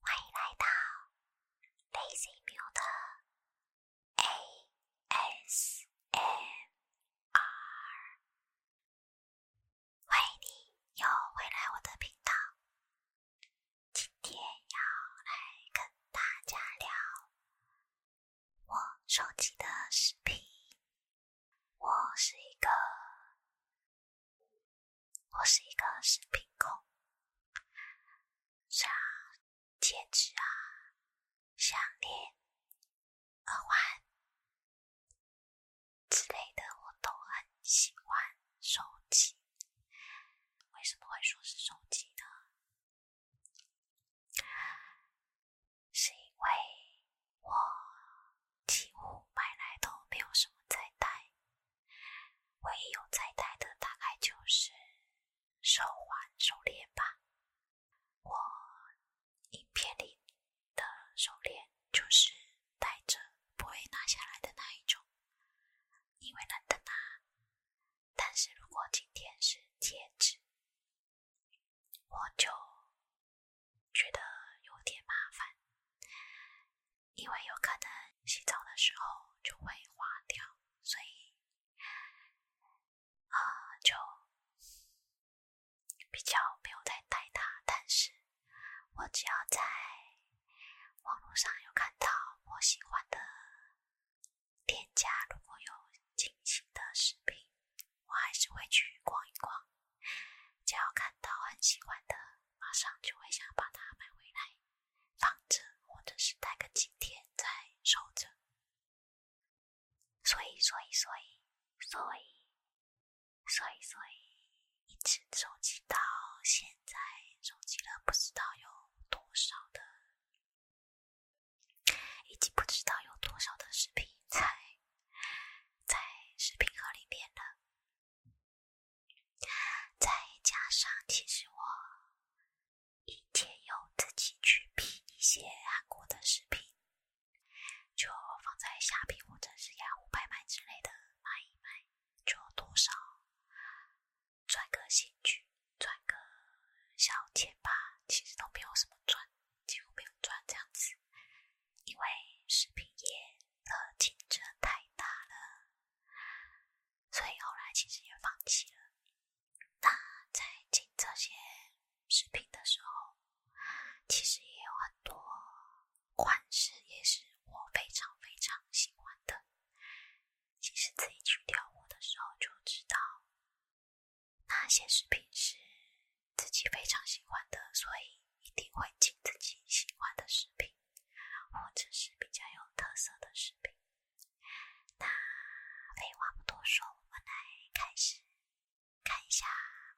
欢迎来到 LazyMule 的 ASMR。欢迎你又回来我的频道，今天要来跟大家聊我收集的饰品。我是一个，我是一个饰品控，像戒指啊、项链。耳环之类的我都很喜欢，手机。为什么会说是手机呢？是因为我几乎买来都没有什么在戴，唯一有在戴的大概就是手环、手链吧。我。影片里的手链就是戴着不会拿下来的那一种，因为懒得拿。但是如果今天是戒指，我就觉得有点麻烦，因为有可能洗澡的时候就会花掉，所以啊就。比较没有在带它，但是我只要在网络上有看到我喜欢的店家，如果有惊喜的视频，我还是会去逛一逛。只要看到很喜欢的，马上就会想把它买回来放着，或者是待个几天再收着。所以，所以，所以，所以。所以，所以一直收集到现在，收集了不知道有多少的，已经不知道有多少的视频在在视频盒里面了。再加上，其实我以前有自己去 P 一些韩国的视频。就放在虾皮或者是雅虎拍卖之类的卖一卖，就多少赚个兴趣，赚个小钱吧。其实都没有什么赚，几乎没有赚这样子，因为视频业的竞争太大了，所以后来其实也放弃了。那在进这些视频的时候，其实也有很多。款式也是我非常非常喜欢的。其实自己去挑货的时候就知道，那些饰品是自己非常喜欢的，所以一定会进自己喜欢的饰品，或者是比较有特色的饰品。那废话不多说，我们来开始。看一下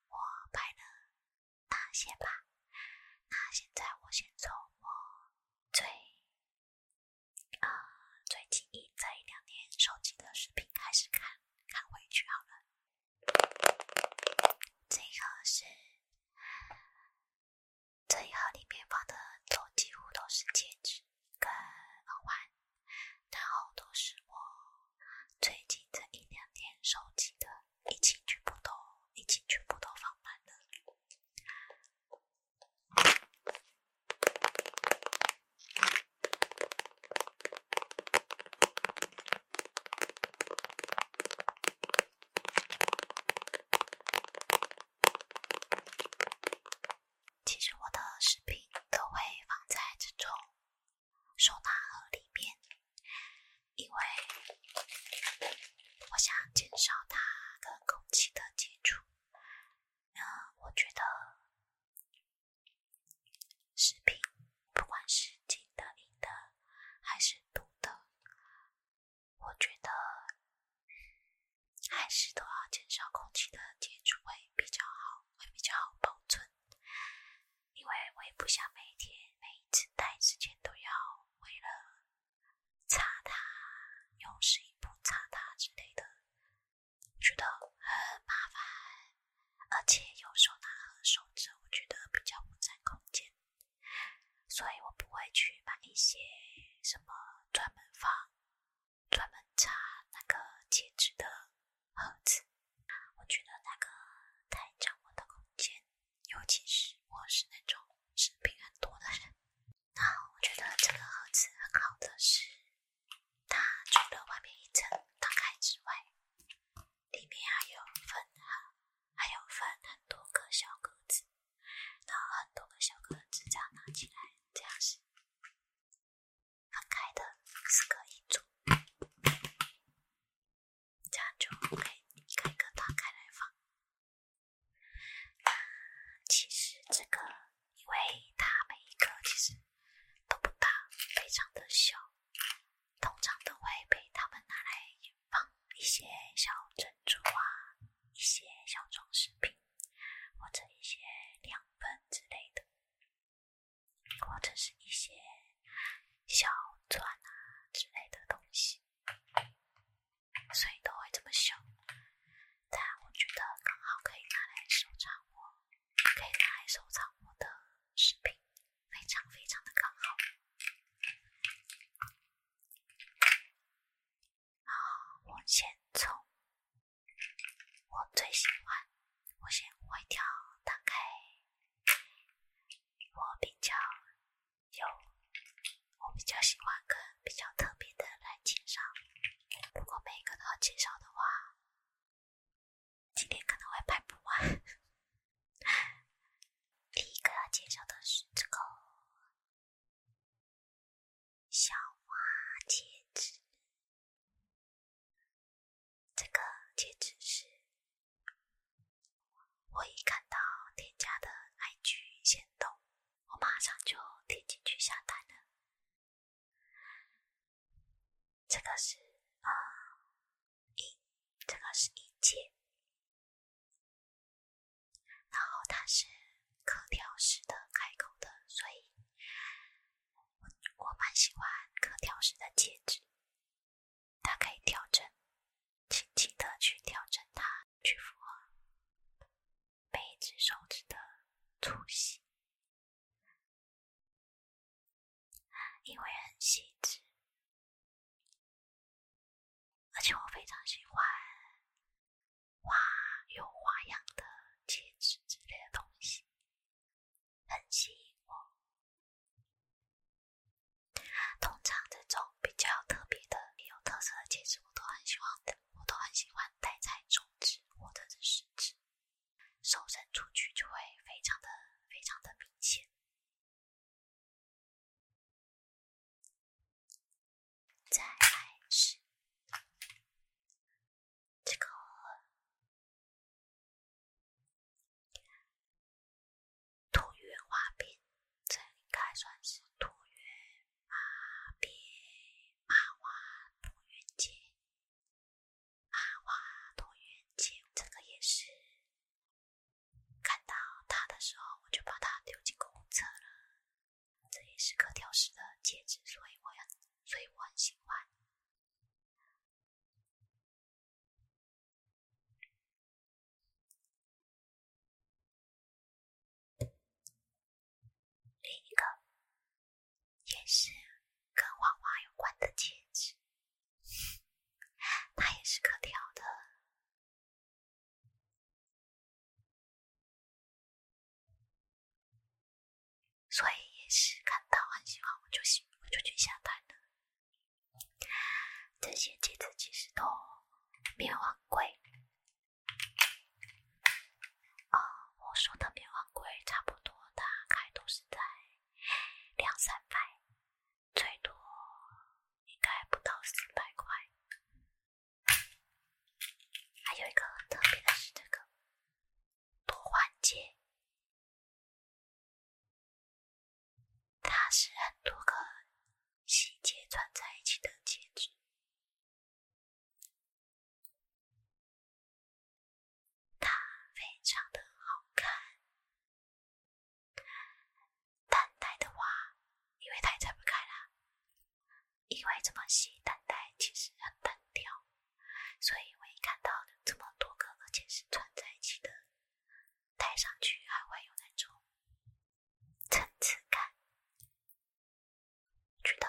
我拍的那些吧。那现在我先从我最呃最近一这一两年收集的视频开始看，看回去好了。这个是，这一盒里面放的都几乎都是戒指跟耳环，然后都是我最近这一两年收集的。一起全部都，一起全部都放慢了。其实我的视频都会放在这种。收纳盒里面，因为我想减少它跟空气的接触。那我觉得食品不管是进的、银的还是读的，我觉得还是都要减少空气的接触会比较好，会比较好保存。因为我也不想每天每一次戴之前都要为了擦它，用湿布擦它之类的，觉得很麻烦，而且有时候拿和手指我觉得比较不占空间，所以我不会去买一些什么专门放、专门插那个戒指的。盒子，我觉得那个太占我的空间，尤其是我是那种生病很多的人。那我觉得这个盒子很好的是，它除了外面一层打开之外，里面还有分哈，还有分很多个小格子，然后很多个小格子这样拿起来，这样是分开的，是可以组。这样就可以一个一个打开来放。那其实这个，因为它每一个其实都不大，非常的小，通常都会被他们拿来放一些小珍珠啊，一些小装饰品，或者一些亮粉之类的。或者是一些小钻啊之类的东西，所以都会这么小。但我觉得刚好可以拿来收藏我，可以拿来收藏我的饰品，非常非常的刚好。好，我先从我最喜欢，我先一条打开。我比较有，我比较喜欢跟比较特别的来介绍。如果每一个都要介绍的话，今天可能会拍不完。第一个要介绍的是这个小花戒指。这个戒指是，我一看到添加的 I G 先动，我马上就点进去下单了。这个是啊，银，这个是一戒，然后它是可调式的开口的，所以我我蛮喜欢可调式的戒指。它可以调整，轻轻的去调整它，去符合每一只手指的粗细，因为很细致，而且我非常喜欢花有花样的戒指之类的东西，很吸引我。通常这种比较特别的、有特色的戒指，我都很喜欢的。我都很喜欢戴在中指或者食指，手伸出去就会非常的、非常的明显。再爱是这个。椭圆花边，这应该算是椭圆啊边啊花椭圆戒，啊花椭圆戒，这个也是。看到它的时候，我就把它丢进公厕了。这也是可调式的戒指，所以我要所以我很喜欢。另一个也是跟画画有关的戒指，它也是可调的，所以也是看到很喜欢，我就喜我就去下单了。这些戒指其实都并不昂贵，啊，我说的并不昂贵，差不多，大概都是在两三百，最多应该不到四百块。还有一个特别的是这个多环节。它是很多个细节串在一起的戒指，它非常的好看。但戴的话，因为太拆不开了，因为这么细蛋带其实很单调，所以我一看到这么多个，而且是串在一起的。戴上去还会有那种层次感，觉得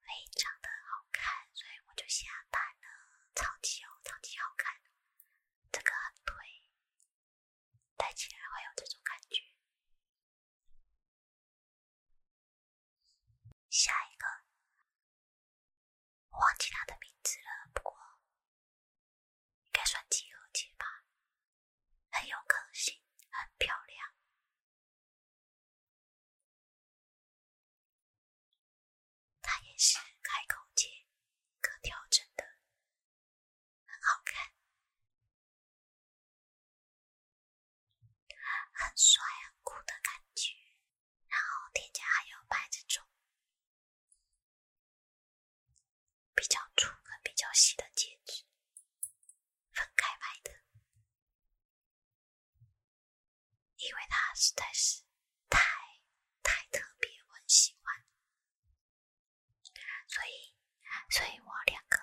非常的好看，所以我就下单了，超级好，超级好看，这个很推，戴起来会有这种感觉。下一个。忘记他的名字了，不过应该算几何节吧，很有个性，很漂亮。他也是开口节可调整的，很好看，很帅很酷的感觉。然后店家还有拍这种。比较粗和比较细的戒指，分开买的，因为它实在是太太特别，我很喜欢，所以所以我两个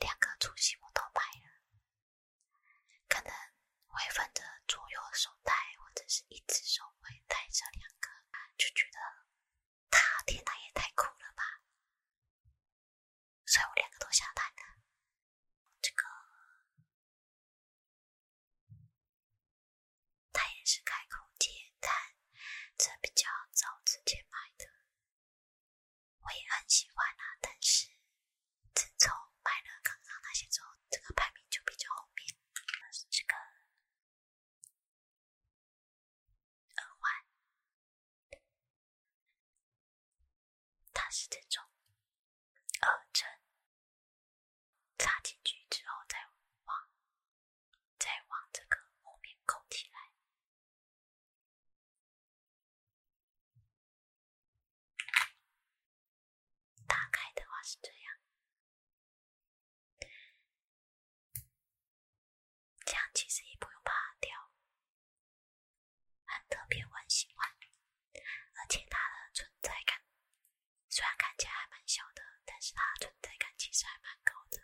两个粗细我都买了，可能会分着左右手戴，或者是一只手会戴着两个。就觉得他天呐也太酷了吧！所以我两个都下单的。这个他也是开口接单，这比较早之前买的，我也很喜欢啊。但是自从买了刚刚那些之后，这个排名就比较后面这个。耳环，它是这种耳针，插进去之后再往再往这个后面扣起来。打开的话是这样。这样其实也不用怕掉，很特别我很喜欢，而且它的存在感虽然看起来还蛮小的，但是它存在感其实还蛮高的。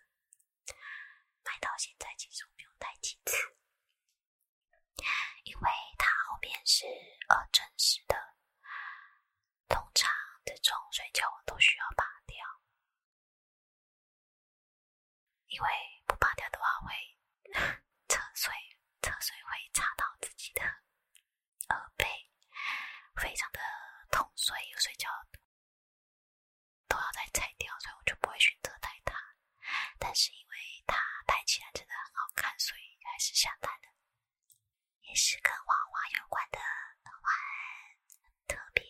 买到现在其实我没有戴几次，因为它后面是呃真实的。通常这种睡觉我都需要拔掉，因为不拔掉的话会 侧睡，侧睡会插到自己的耳背，非常的痛，所以睡觉都要再拆掉，所以我就不会选择戴它。但是因为它戴起来真的很好看，所以还是想戴的。也是跟娃娃有关的话，很特别，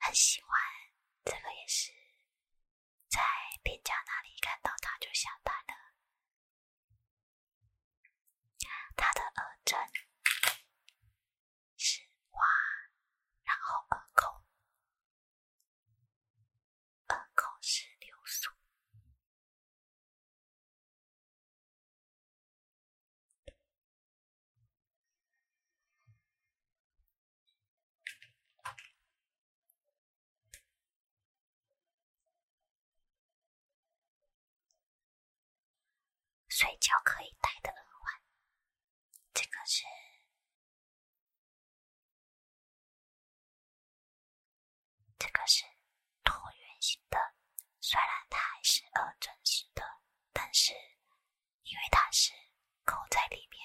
很喜欢这个，也是在店家那里看到他就下单了。他的耳针是花，然后耳孔，耳孔是流苏。睡觉可以戴的耳环，这个是。这个是椭圆形的，虽然它还是耳真实的，但是因为它是扣在里面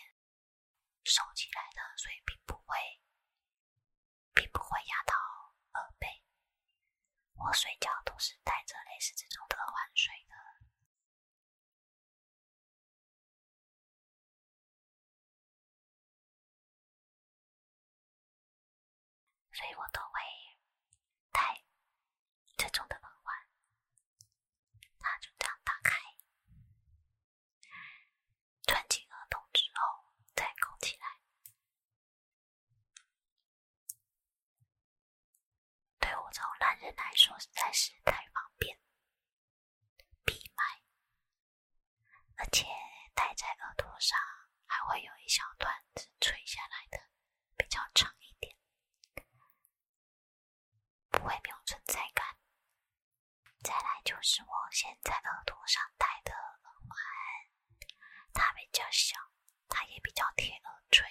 收起来的，所以并不会并不会压到耳背。我睡觉都是带着类似这种的耳环睡的。所以我都会戴这种的耳环，它就这样打开，穿进耳洞之后再扣起来。对我这种懒人来说实在是太方便、闭麦，而且戴在耳朵上。还会有一小段是垂下来的，比较长一点，不会没有存在感。再来就是我现在耳朵上戴的耳环，它比较小，它也比较贴耳垂。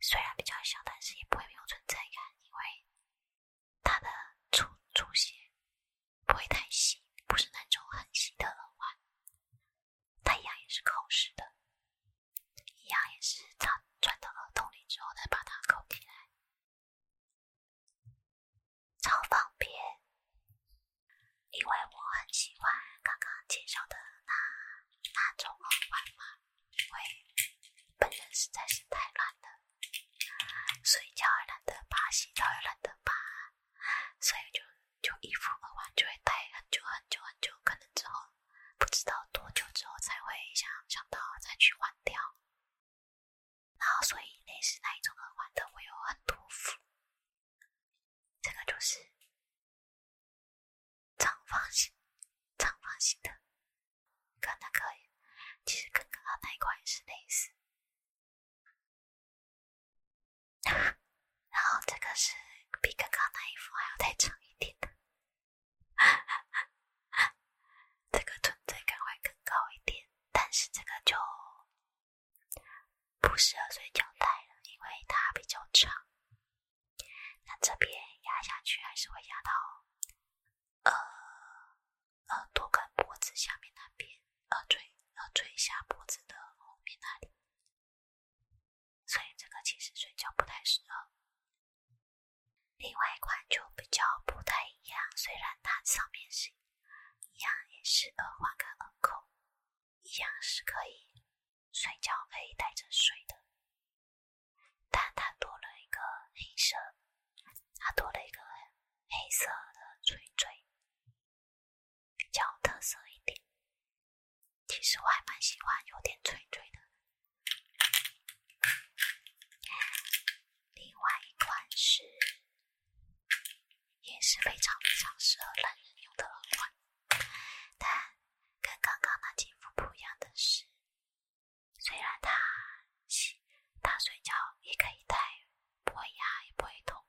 虽然比较小，但是也不会没有存在感，因为它的出出现。不会太细，不是那种很细的耳环。一样也是扣式的，一样也是插转到耳洞里之后再把它扣起来，超方便。因为我很喜欢刚刚介绍的那那种耳环嘛，因为本人实在是太懒了，睡觉懒得拔，洗澡懒得拔。所以就就衣服耳环就会戴很久很久很久，可能之后不知道多久之后才会想想到再去换掉。然后所以类似那一种耳环的我有很多副，这个就是长方形长方形的，跟那个其实跟刚刚那一款是类似。然后这个是比刚刚那一副还要再长一点的，这个存在感会更高一点，但是这个就不适合睡觉戴了，因为它比较长。那这边压下去还是会压到，呃。耳朵跟脖子下面那边，耳坠耳坠下脖子的后面那里，所以这个其实睡觉不太适合。另外一款就比较不太一样，虽然它上面是一样，也是耳环跟耳扣，一样是可以睡觉可以带着睡的，但它多了一个黑色，它多了一个黑色的垂坠。较特色一点，其实我还蛮喜欢有点脆脆的。另外一款是，也是非常非常适合懒人用的耳环，但跟刚刚那几副不一样的是，虽然它洗，它睡觉也可以戴。不会压也不会痛，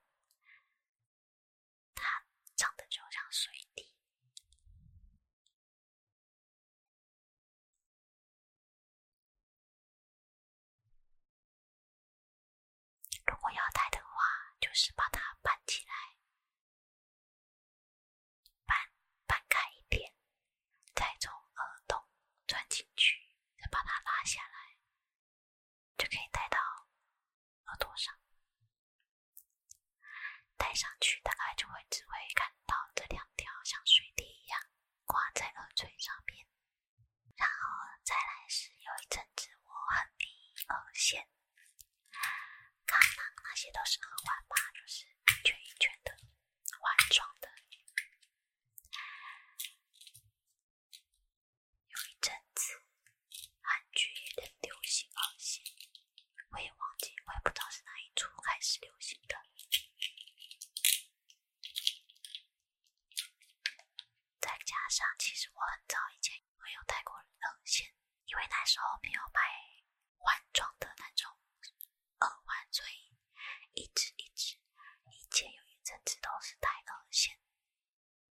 它长得就像水滴。如果要戴的话，就是把它掰起来，掰掰开一点，再从耳洞钻进去，再把它拉下来。就可以戴到耳朵上，戴上去大概就会只会看到这两条像水滴一样挂在耳垂上面，然后再来是有一阵子我很迷耳线，刚刚那些都是耳环吧，就是一圈一圈的环状的。有一阵子，韩剧也流行耳线，我也忘记，我也不知道是哪一出开始流行的。再加上，其实我很早以前没有戴过耳线，因为那时候没有买换装的那种耳环，所以一直一直以前有一阵子都是戴耳线。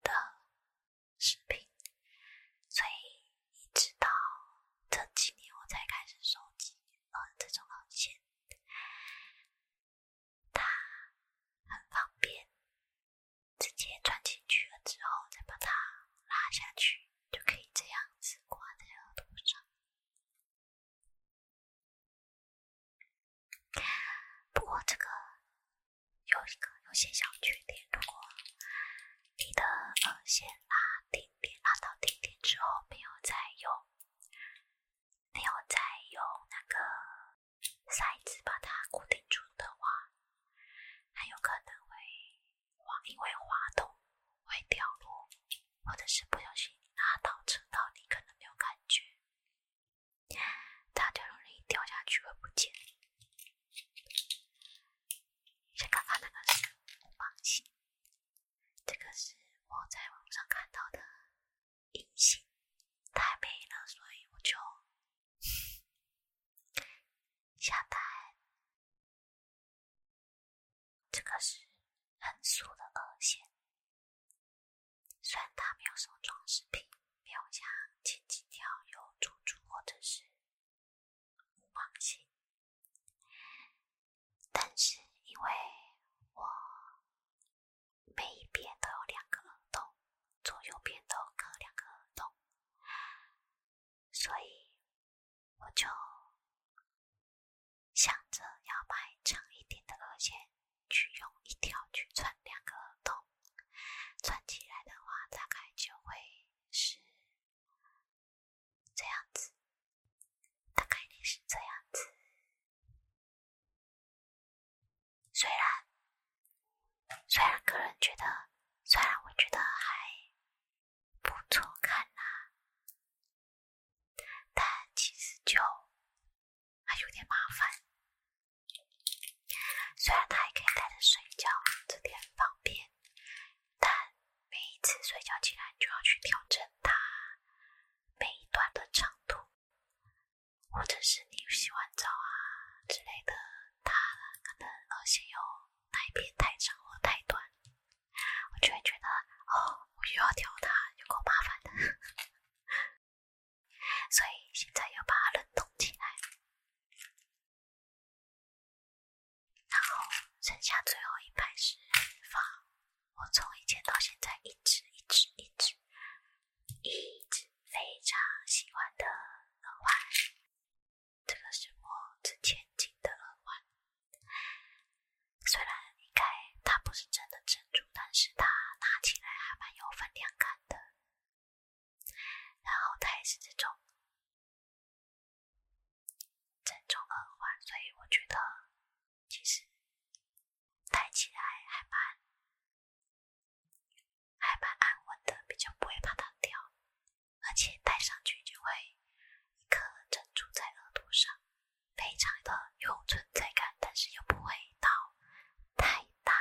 的视频，所以一直到这几年我才开始收集这种耳线，它很方便，直接穿进去了之后再把它拉下去，就可以这样子挂在耳朵上。不过这个有一个有些小缺点，如果你的耳线拉定点拉到定点之后，没有再用没有再用那个塞子把它固定住的话，很有可能会滑，因为滑动会掉落，或者是不小心拉到扯到，你可能没有感觉。他这种人一掉下去会不见。先看看那个红芒星，这个是我在网上看到的银星，太美了，所以我就下单。这个是很俗的二线。虽然它没有什么装饰品，没有像金几条有珠珠或者是五芒星，但是因为我每一边都有两个耳洞，左右边都各两个耳洞，所以我就想着要买长一点的耳线。去用一条去穿两个洞，穿起来的话大概就会是这样子，大概率是这样子。虽然虽然个人觉得，虽然我觉得还不错看啦，但其实就。还有点麻烦，虽然它还可以带着睡觉，这点方便，但每一次睡觉起来就要去调整它每一段的长度，或者是你洗完澡啊之类的，它可能而且有那一边太长或太短，我就会觉得哦，我又要调它，有够麻烦的。所以现在又把它冷冻起来，然后剩下最后一排是放我从以前到现在一直一直一直一直非常喜欢的耳环，这个是我之前进的耳环，虽然应该它不是真的珍珠，但是它拿起来还蛮有分量感。的，然后它也是这种珍珠耳环，所以我觉得其实戴起来还蛮还蛮安稳的，比较不会怕它掉，而且戴上去就会一颗珍珠在耳朵上，非常的有存在感，但是又不会到太大。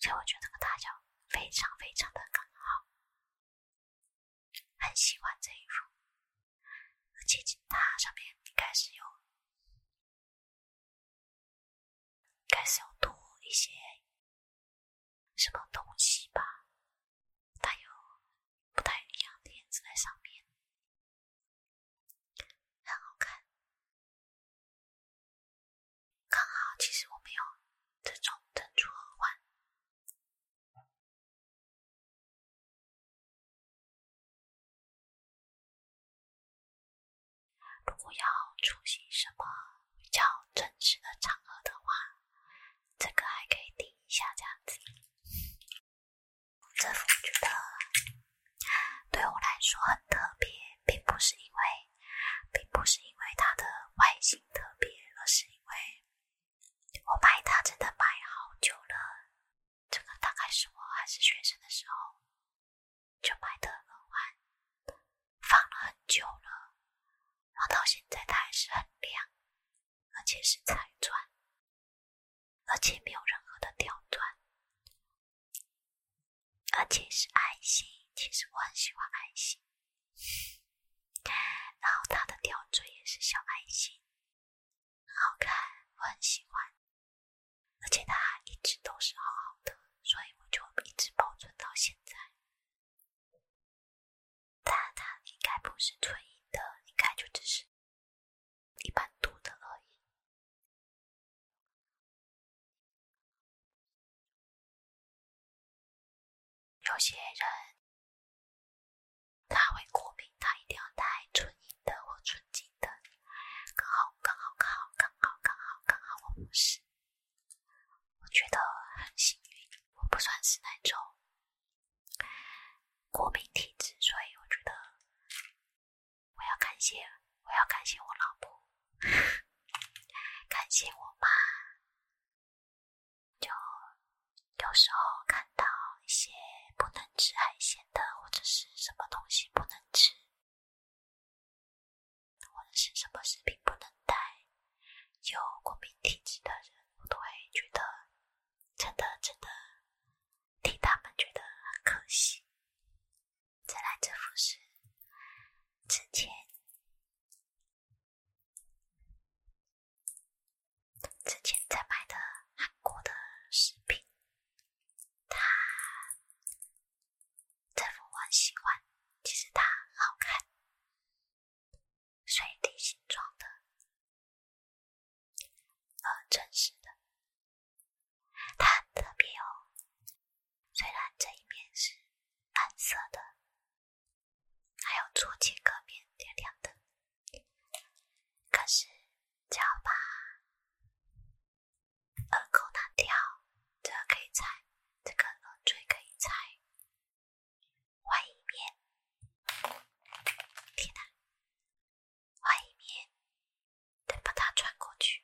所以我觉得这个大小非常非常的刚好，很喜欢这一种，而且它上面应该是有开始有多一些什么东西吧，带有不太一样的颜色在上面。很好看，刚好其实我没有这种珍珠耳环，如果要出席什么比较正式的场合的话，这个还可以顶一下这样子。这复觉得。对我来说很特别，并不是因为，并不是因为它的外形特别，而是因为，我买它真的买好久了。这个大概是我还是学生的时候就买的，环，放了很久了，然后到现在它还是很亮，而且是彩钻，而且没有任何的掉钻。而且是爱心，其实我很喜欢爱心。然后它的吊坠也是小爱心，好看，我很喜欢。而且它一直都是好好的，所以我就一直保存到现在。但它应该不是纯银的，应该就只是一般度的而已。有些人他会过敏，他一定要戴纯银的或纯金的。刚好，刚好，刚好，刚好，刚好，刚好，我不是，我觉得很幸运，我不算是那种过敏体质，所以我觉得。我要感谢，我要感谢我老婆，感谢我妈。就有时候看到一些不能吃海鲜的，或者是什么东西不能吃，或者是什么食品不能带，有过敏体质的人，我都会觉得真的真的替他们觉得很可惜。在来这幅是之前，之前在买的韩国的饰品，它这幅我很喜欢。其实它好看，水滴形状的，呃，真实的。它很特别哦，虽然这一面是蓝色的，还有左前壳面亮亮的，可是只要把耳孔那条这可以拆，这个耳坠可以拆，换面，天哪，换面。再把它穿过去，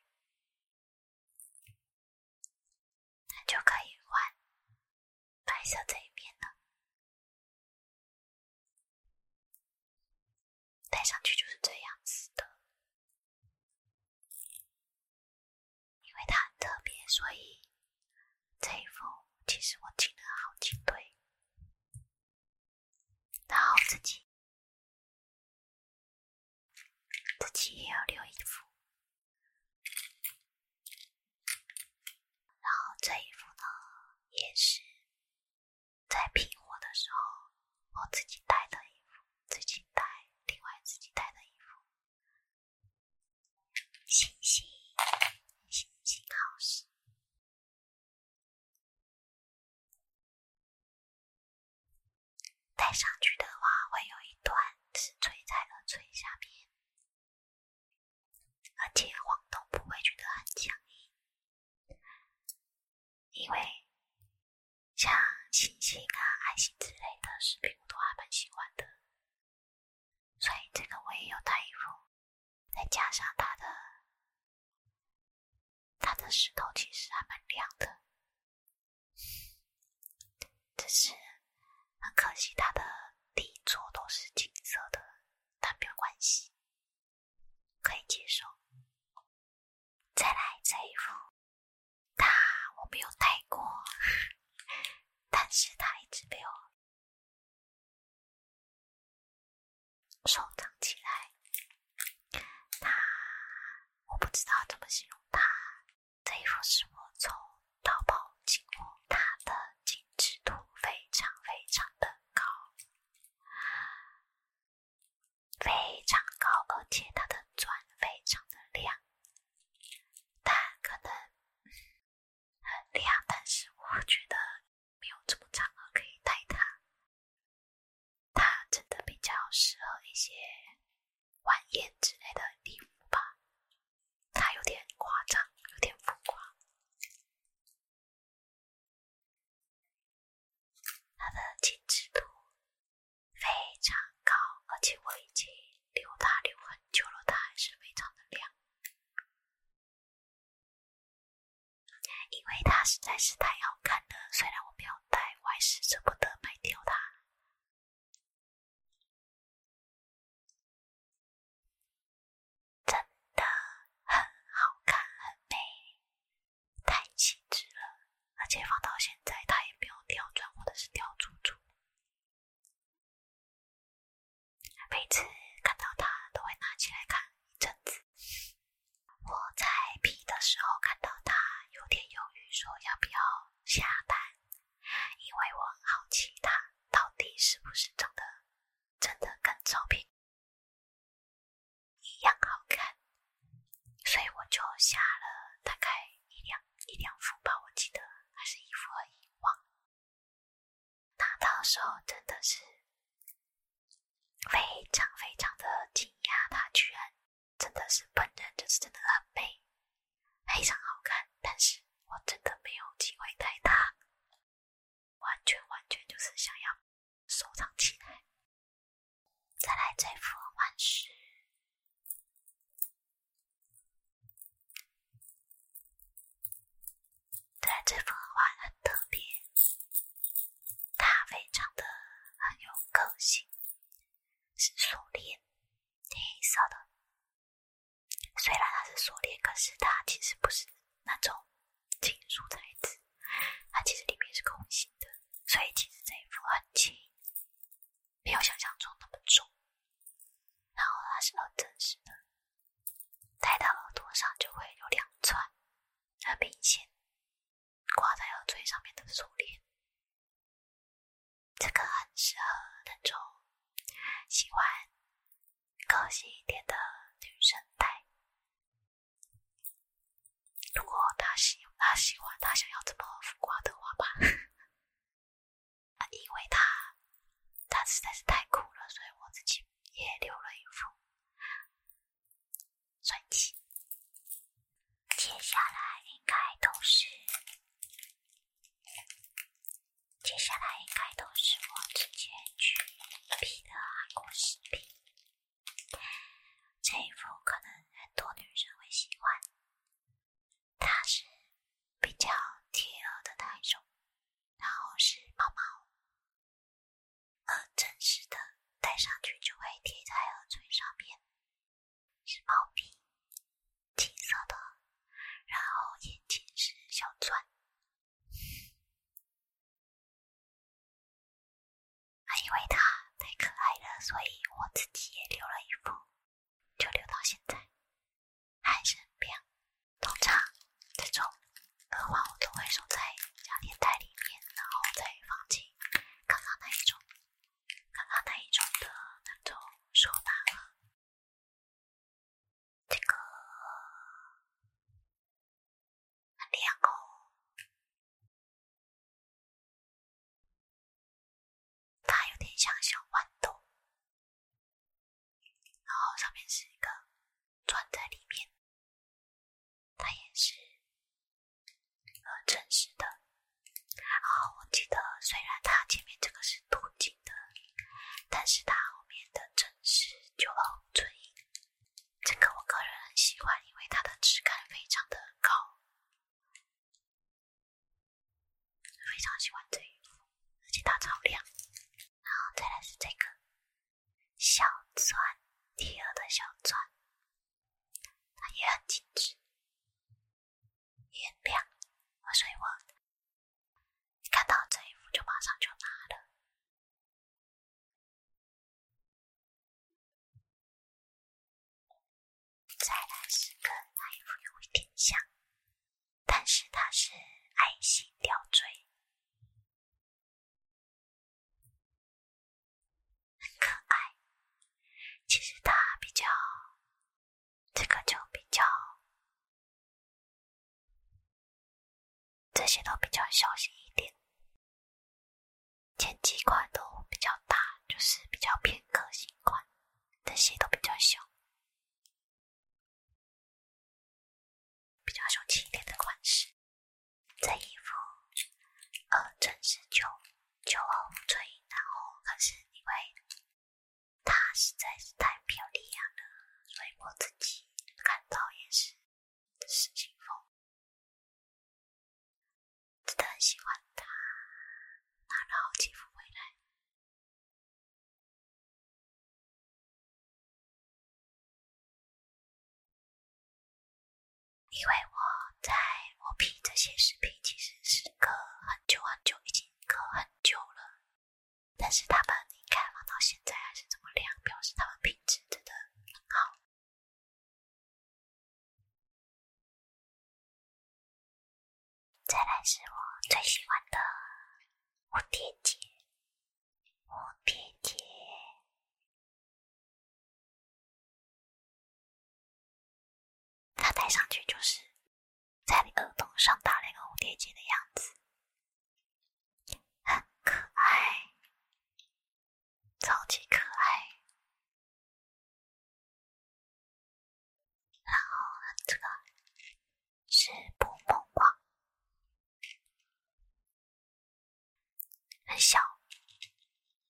就可以换白色这一面了。戴上去就是这样子的。因为它很特别，所以这一副其实我进了好几对，然后自己。自己也要留一副，然后这衣服呢也是在拼货的时候我自己带的衣服，自己带，另外自己带的衣服，星星星星好戴上去的话，会有一段是垂在了垂下面，而且晃动不会觉得很僵硬，因为像星星啊、爱心之类的饰品，我都还蛮喜欢的，所以这个我也有戴一副，再加上它的。它的石头其实还蛮亮的，只是很可惜它的底座都是金色的，但没有关系，可以接受。再来这一副，它我没有戴过，但是它一直没有收藏起来。它，我不知道怎么形容它。这一幅是我从淘宝进货，它的精致度非常非常的高，非常高，而且它的钻非常的亮。它可能很亮，但是我觉得没有这么长可以戴它。它真的比较适合一些晚宴之类的礼服吧，它有点夸张，有点浮夸。它的精致度非常高，而且我已经留它留很久了，它还是非常的亮，因为它实在是太好看了。虽然我没有。但还是舍不得卖掉它，真的很好看，很美，太气质了。而且放到现在，它也没有掉钻或者是掉珠珠，每次看到它都会拿起来看一阵子。我在 P 的时候看到他，有点犹豫，说要不要下单，因为我很好奇他到底是不是真的，真的跟照片一样好看，所以我就下了大概一两一两副吧，我记得还是一副而已。哇！拿到手真的是非常非常的惊讶，他居然……真的是本人就是真的很美，非常好看。但是我真的没有机会带它，完全完全就是想要收藏起来。再来这幅画是对这幅画很特别，它非常的很有个性。是锁链，黑色的。虽然它是锁链，可是它其实不是那种金属材质，它其实里面是空心的，所以其实这一副很轻，没有想象中那么重。然后它是很真实的，戴到耳朵上就会有两串，很明显。挂在耳垂上面的锁链，这个很适合那种喜欢个性一点的女生戴。如果她喜她喜欢她想要这么浮夸的话吧，因为她她实在是太酷了，所以我自己也留了一副。帅气。接下来应该都是，接下来应该都是我之前去拍的韩国视频。这一幅可能很多女生会喜欢，它是比较贴耳的那一种，然后是毛毛，呃，真实的戴上去就会贴在耳垂上面。是猫咪，金色的，然后眼睛是小钻。因为它太可爱了，所以我自己也留了一副，就留到现在，还很亮。通常这种的话，我都会收在夹链袋里面，然后再放进刚刚那一种。刚刚那一种的那种收纳盒，这个很亮哦，它有点像小豌豆，然后上面是一个钻在里面。它也是呃，真实的后我记得，虽然它前面这个是镀金的，但是它后面的真实就很纯这个我个人很喜欢，因为它的质感非常的高，非常喜欢这一副，而且它超亮。然后再来是这个小钻，第二的小钻。它也很精致，也很亮所以我看到这一幅就马上就拿了。再来是跟那一幅有一点像，但是它是爱心吊坠。很可爱，其实它比较，这个就比较，这些都比较小心一点。前几款都比较大，就是比较偏个性款，这些都比较小，比较小气一点的款式。这衣服，呃，真是就。酒后醉，然后可是因为他实在是太漂亮了，所以我自己看到也是，是清风，真的很喜欢他，拿了好几幅回来。因为我在我 P 这些视频，其实是隔很久很久，已经隔很久了。但是他们应该放到现在还是这么亮，表示他们品质真的很好。再来是我最喜欢的蝴蝶结，蝴蝶结。他戴上去就是在你耳洞上打了一个蝴蝶结的样子，很可爱，超级可爱。然后这个是捕梦光，很小。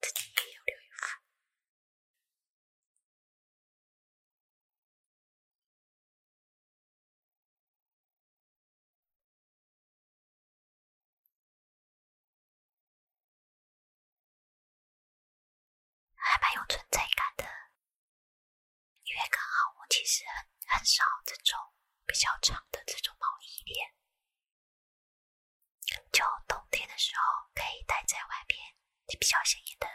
自己也有六月还蛮有存在感的，因为刚好我其实很很少这种比较长的这种毛衣链。就冬天的时候可以戴在外面比较显眼的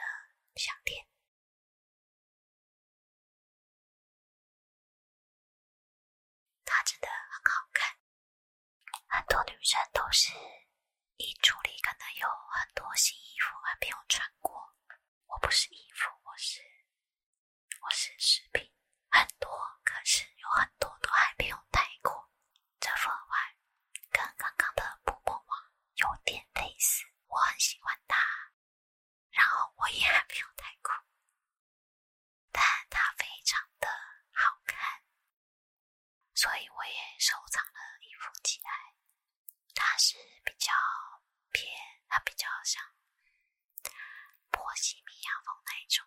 项链，它真的很好看。很多女生都是衣橱里可能有很多新衣服还没有穿过。我不是衣服，我是我是饰品。很多，可是有很多都还没有戴过。这幅画跟刚刚的《布罗网有点类似，我很喜欢它。然后我也还没有太过，但它非常的好看，所以我也收藏了一幅起来。它是比较偏，它比较像波西米亚风那一种。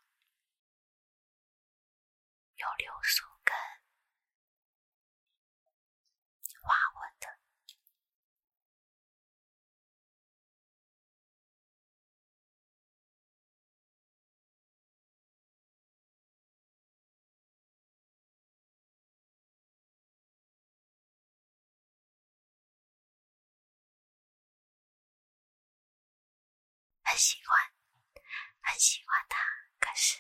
有柳树根花纹的。很喜欢，很喜欢他，可是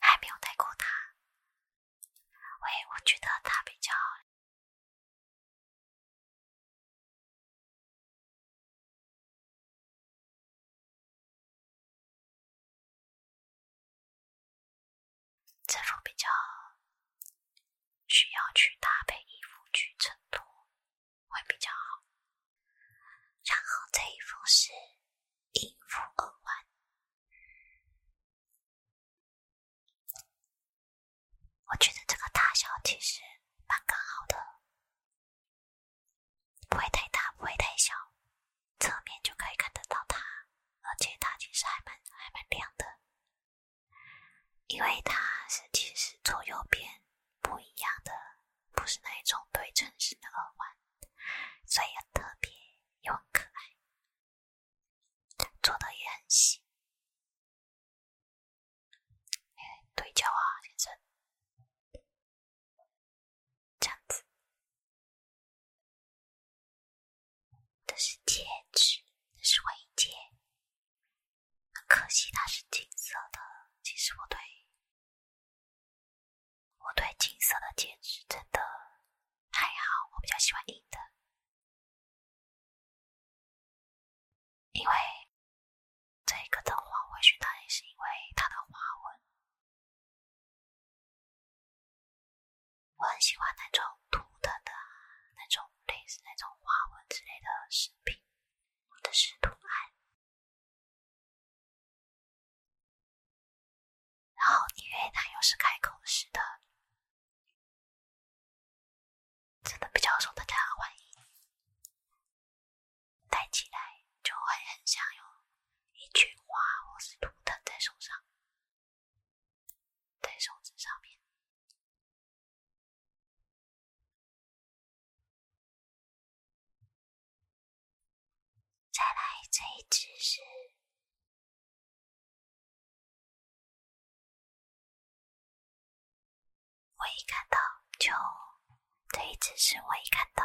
还没有带过他。喂，我觉得他比较，这种比较？需要去搭配衣服去衬托，会比较好。然后这一幅是银服耳环，我觉得这个大小其实蛮刚好的，不会太大，不会太小，侧面就可以看得到它，而且它其实还蛮还蛮亮的。因为它是其实左右边不一样的，不是那一种对称式的耳环，所以特别又很可爱，做的也很细。对焦啊，先生，这样子。这是戒指，这是围戒。可惜它是金色的。其实我对我对金色的戒指真的还好，我比较喜欢银的。因为这个的话，我选它也是因为它的花纹，我很喜欢那种图腾的那种。类似那种花纹之类的饰品，的者是图案。然后，因为它又是开口式的，真的比较受大家欢迎。戴起来就会很像有一群花或是图腾在手上，在手指上面。再来这一只是，我一看到就这一只是我一看到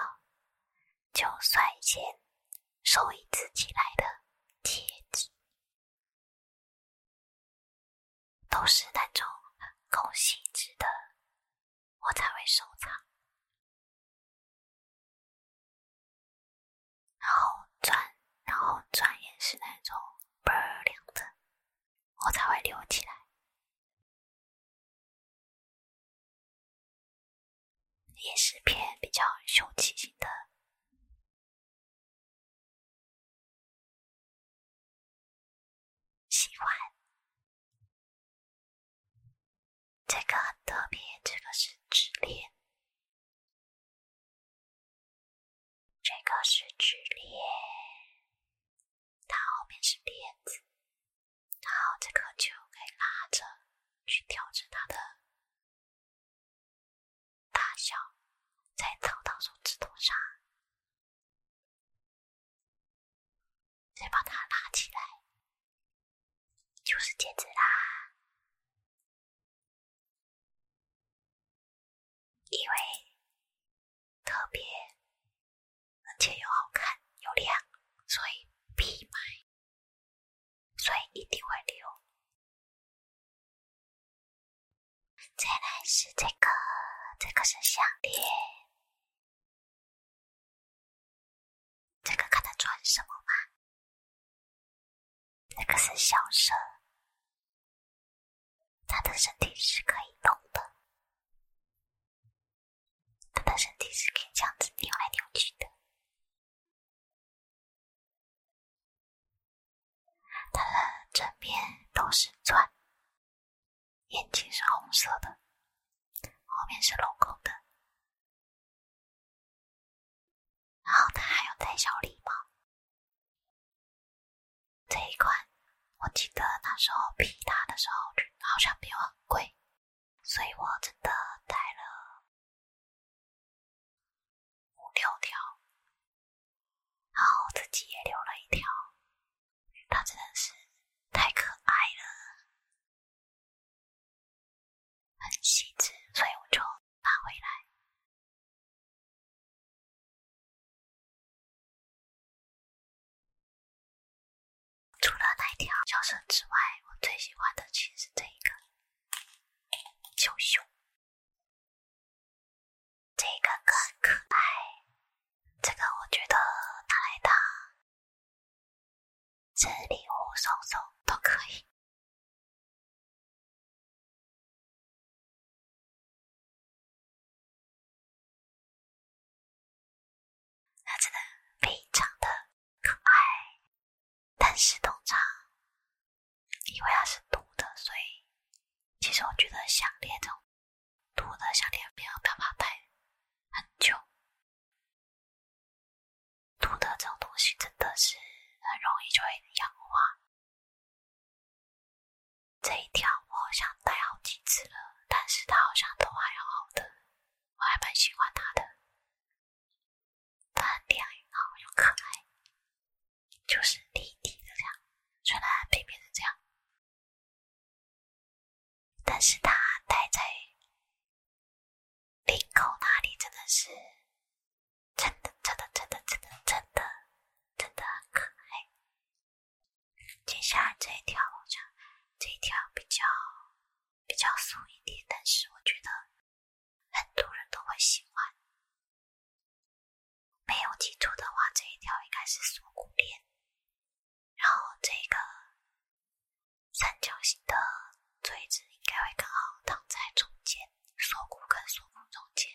就率先收一只起来的贴纸。都是那种高性质的，我才会收藏。然后转，然后转眼是那种倍儿亮的，我才会留起来。也是偏比较凶奇型的。喜欢，这个很特别，这个是直链，这个是直链，它后面是链子，然后这个就可以拉着去调整它的。大小在草刀手指头上，再把它拉起来，就是戒指啦。因为特别，而且又好看又亮，所以必买，所以一定会留。再来是这个，这个是项链。这个看它穿什么吧。这个是小蛇，它的身体是可以动的，它的身体是可以这样子扭来扭去的。它的正面都是钻，眼睛是红色的，后面是镂空的，然后它还有戴小礼帽。这一款我记得那时候批他的时候好像没有很贵，所以我真的戴了五六条。然后自己也留了一条，它真的是太可爱了，很细致，所以我就拿回来。除了那一条叫声之外，我最喜欢的其实是这一个小熊。这个更可爱，这个我觉得拿来当这礼物送送都可以，它真的非常的可爱，但是通常因为它是毒的，所以。其实我觉得项链这种土的项链不要不要戴很久，土的这种东西真的是很容易就会氧化。这一条我好像戴好几次了，但是它好像都还好的，我还蛮喜欢它的，它很亮后又可爱。就是立体的这样，虽然背面是这样，但是它戴在领口那里真的是，真的真的真的真的真的真的很可爱。接下来这一条我想这一条比较比较素一点，但是我觉得很多人都会喜欢。没有记错的话，这一条应该是锁骨链，然后这个三角形的锥子应该会刚好躺在中间，锁骨跟锁骨中间。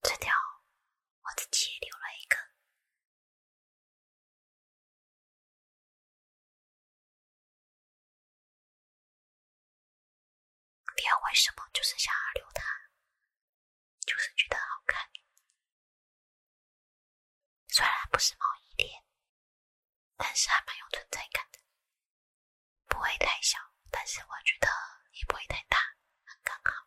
这条我己也留了一个。不要为什么，就是想要留它，就是觉得好看。虽然不是毛衣链，但是还蛮有存在感的。不会太小，但是我觉得也不会太大，刚刚好。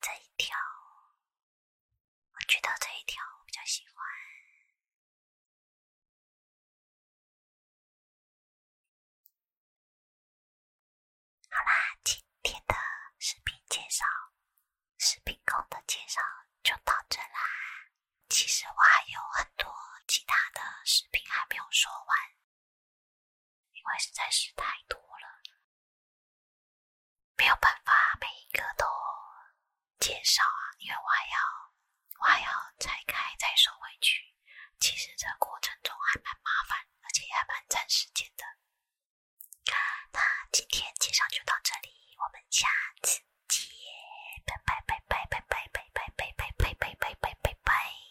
这一条，我觉得这一条我比较喜欢。好啦，今天的视频介绍，视频控的介绍就到这啦。其实我还有很多其他的视频还没有说完。因为实在是太多了，没有办法每一个都介绍啊。因为我还要，我还要拆开再收回去。其实这过程中还蛮麻烦，而且也蛮占时间的。那今天介绍就到这里，我们下次见！拜拜拜拜拜拜拜拜拜拜拜拜拜拜。